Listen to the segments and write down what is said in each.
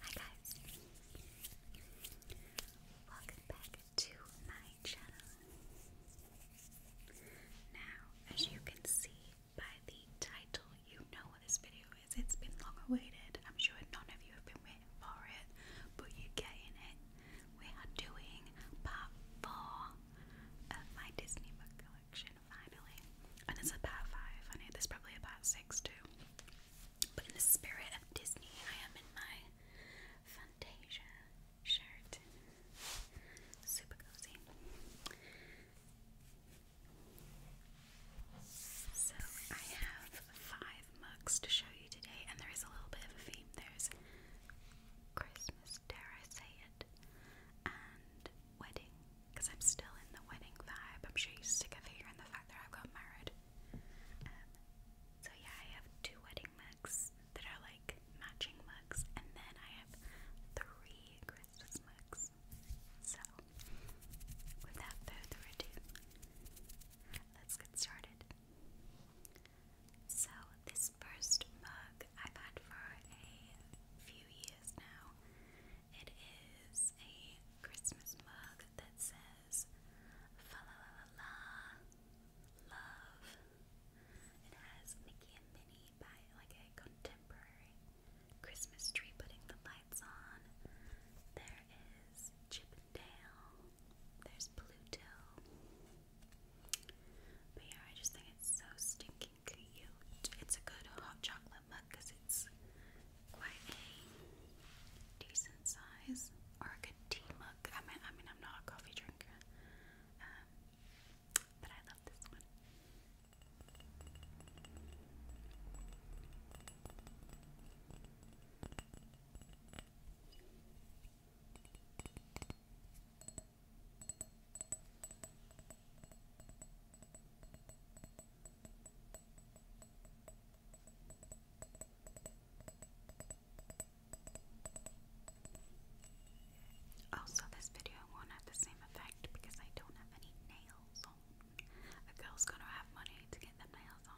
Hi guys, welcome back to my channel. Now, as you can see by the title, you know what this video is. It's been long awaited. I'm sure none of you have been waiting for it, but you're getting it we are doing part four of my Disney book collection finally. And it's a five. I know there's probably a six too. But in the spirit of Disney, I am in my Fantasia shirt. Super cozy. So I have five mugs to show you today, and there is a little bit of a theme. There's Christmas, dare I say it, and wedding, because I'm still in the wedding vibe. I'm sure you're sick of hearing the fact that I've got married. Um, so yeah, I have two wedding mugs that are like matching mugs, and then I have three Christmas mugs. So, without further ado, let's get started. So, this first mug I've had for a few years now. It is a Christmas mug that says Fa Love. It has Mickey and Minnie by like a contemporary Christmas tree putting the lights on. There is Chip and Dale. There's Pluto. But yeah, I just think it's so stinking cute. It's a good hot chocolate mug because it's quite a decent size, or a good tea mug. I mean, I mean, I'm not a coffee drinker, um, but I love this one. Also, this video won't have the same effect because I don't have any nails A girl's gonna have money to get their nails on.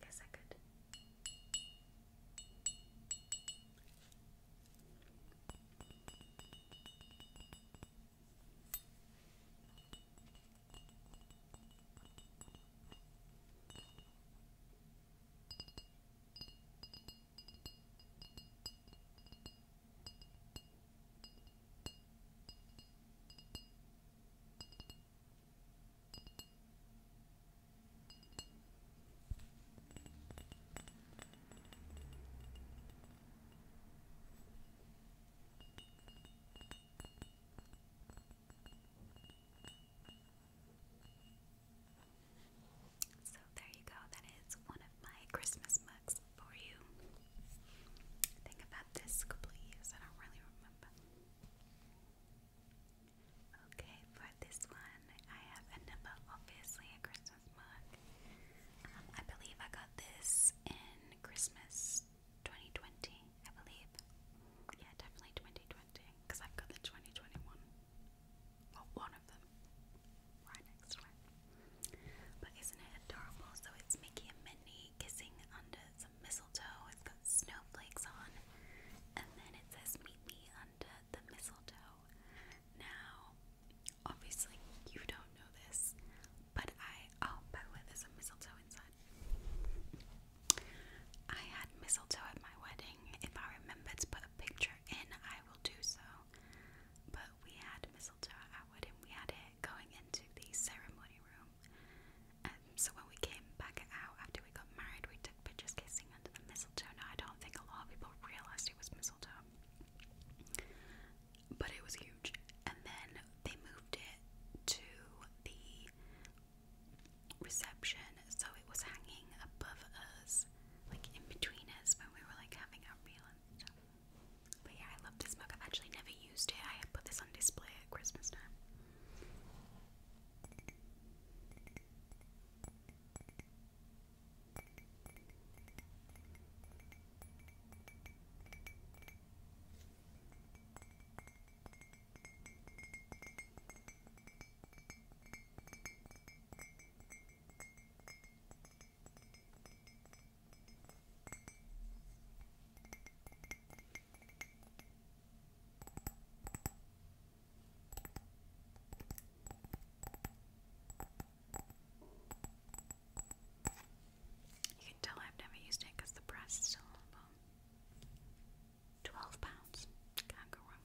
Guess I could. Okay. So there you go, that is one of my Christmas mugs for you. think i this a I don't really remember. Okay, for this one, I have another, obviously a Christmas mug. Um, I believe I got this in Christmas 2020, I believe. Yeah, definitely 2020, because I've got the 2021. Well, one of them. Right next to it. But isn't it adorable? So it's Mickey and Minnie kissing under, mistletoe. It's got snowflakes on. And then it says, Meet me under the mistletoe. Now, obviously, you don't know this, but I. Oh, by the way, there's a mistletoe inside. I had mistletoe at my wedding. If I remember to put a picture in, I will do so. But we had mistletoe at wedding. We had it going into the ceremony room. Um, so when we came back out after we got married, we took pictures kissing under the mistletoe. Now I don't think a lot of people realised it was mistletoe, but it was huge. And then they moved it to the reception, so it was hanging above us, like in between us when we were like having our meal and stuff. But yeah, I love this mug. I've actually never used it. I put this on display Christmas time. You can tell I've never used it because the price is still on the bottom. Twelve pounds. Can't go wrong.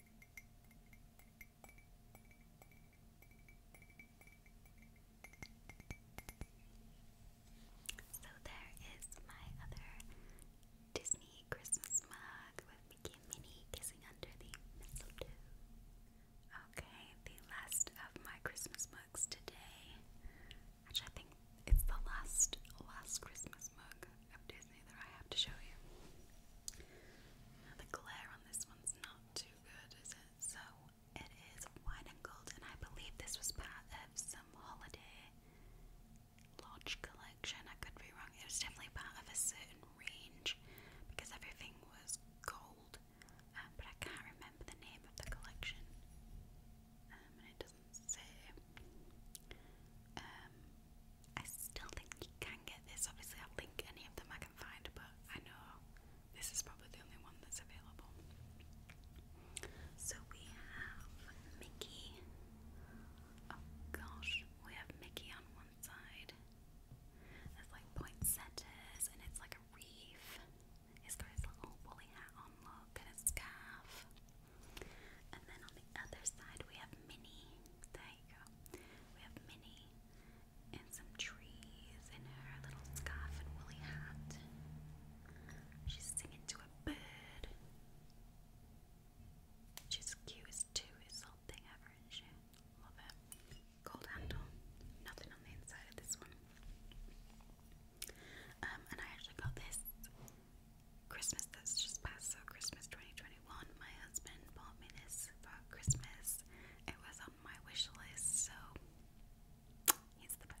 So there is my other Disney Christmas mug with Mickey Minnie kissing under the mistletoe. Okay, the last of my Christmas mugs today. Which I think it's the last last Christmas mug of Disney that I have to show you. the glare on this one's not too good, is it? So, it is white and gold, and I believe this was part of some holiday lodge collection. I could be wrong. It was definitely part of a certain range because everything was gold, um, but I can't remember the name of the collection. Um, and it doesn't say. Um, I still think you can get this. Obviously, I'll link any of them I can find, but I know this is probably the only one that's available. So we have Mickey. Oh gosh, we have Mickey on one side. There's like poinsettias, and it's like a reef. He's got his little woolly hat on, look, and a scarf. And then on the other side, we have Minnie. There you go. We have Minnie and some trees and her little scarf and woolly hat. She's singing to a bird. She's cute as two is ever, is she? Love it. Gold handle. Nothing on the inside of this one. Um, and I actually got this Christmas that's just passed, so Christmas 2021, my husband bought me this for uh, Christmas. It was on my wish list, so he's the best.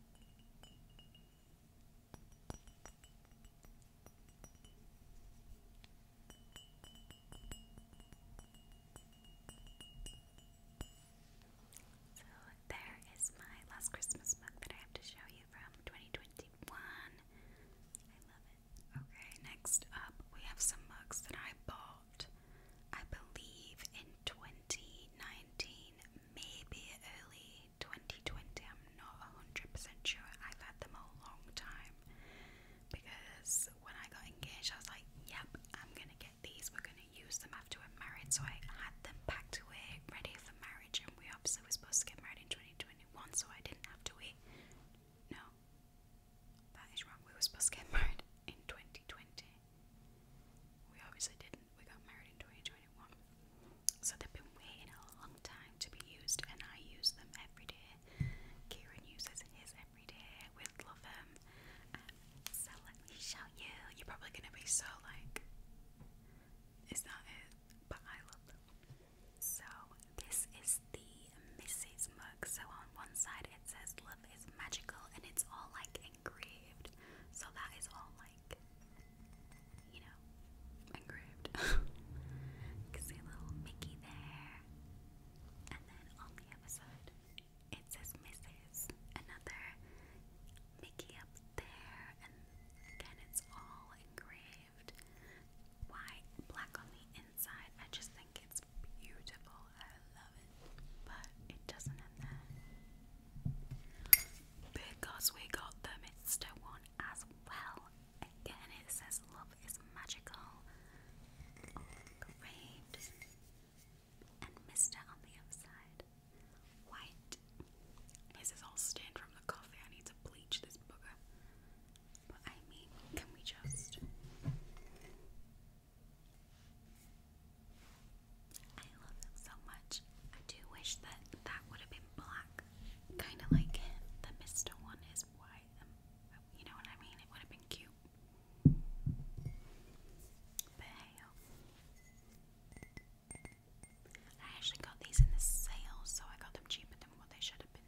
So there is my last Christmas book that I have to show you from 2021. I love it. Okay, next up we have some mugs that I bought, I believe, in 2019 maybe early 2020. I'm not 100% sure. I've had them a long time because when I got engaged, I was like, yep, I'm gonna get these. We're gonna use them after we're married. So I had them packed away, ready for marriage. And we obviously were supposed to get married in 2021, so I didn't have to wait. No, that is wrong. We were supposed to get married in 2020. We obviously didn't. We got married in 2021. So they've been waiting a long time to be used, and I use them every day. Kieran uses his every day. We love him. Um, so let me show you. You're probably going to be so like, is that it? But I love them. So this is the Mrs. mug. So on one side it says love is magical, and it's all like engraved. So that is all like, you know, engraved. you see little Mickey there. And then on the other side, it says Mrs. Another Mickey up there. And again, it's all engraved. Why black on the inside? I just think it's beautiful. I love it, but it doesn't end there because we got the Mister one as well. Again, it says love is magical on and Mister on the upside, white. His is all stained from the coffee. I need to bleach this booger. But I mean, can we just? I love them so much. I do wish that that would have been black, kind of like the Mister one is white. Um, you know what I mean? It would have been cute. But hey, I actually got these in the sale, so I got them cheaper than what they should have been.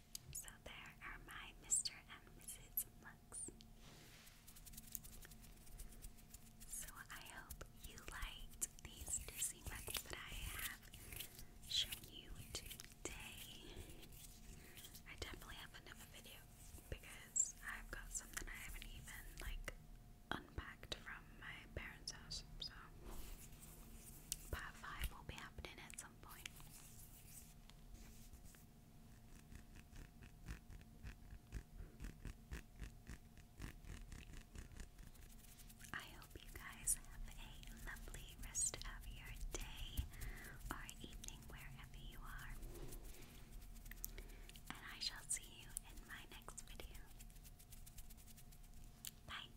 So there are my Mr. and Mrs. looks. So I hope you liked these Disney mugs that I have shown you today. I definitely have another video because I've got something I haven't even like unpacked from my parents' house. So part five will be happening at some some I hope you guys have a lovely rest of your day or evening wherever you are. And I shall see you in my next video. Bye.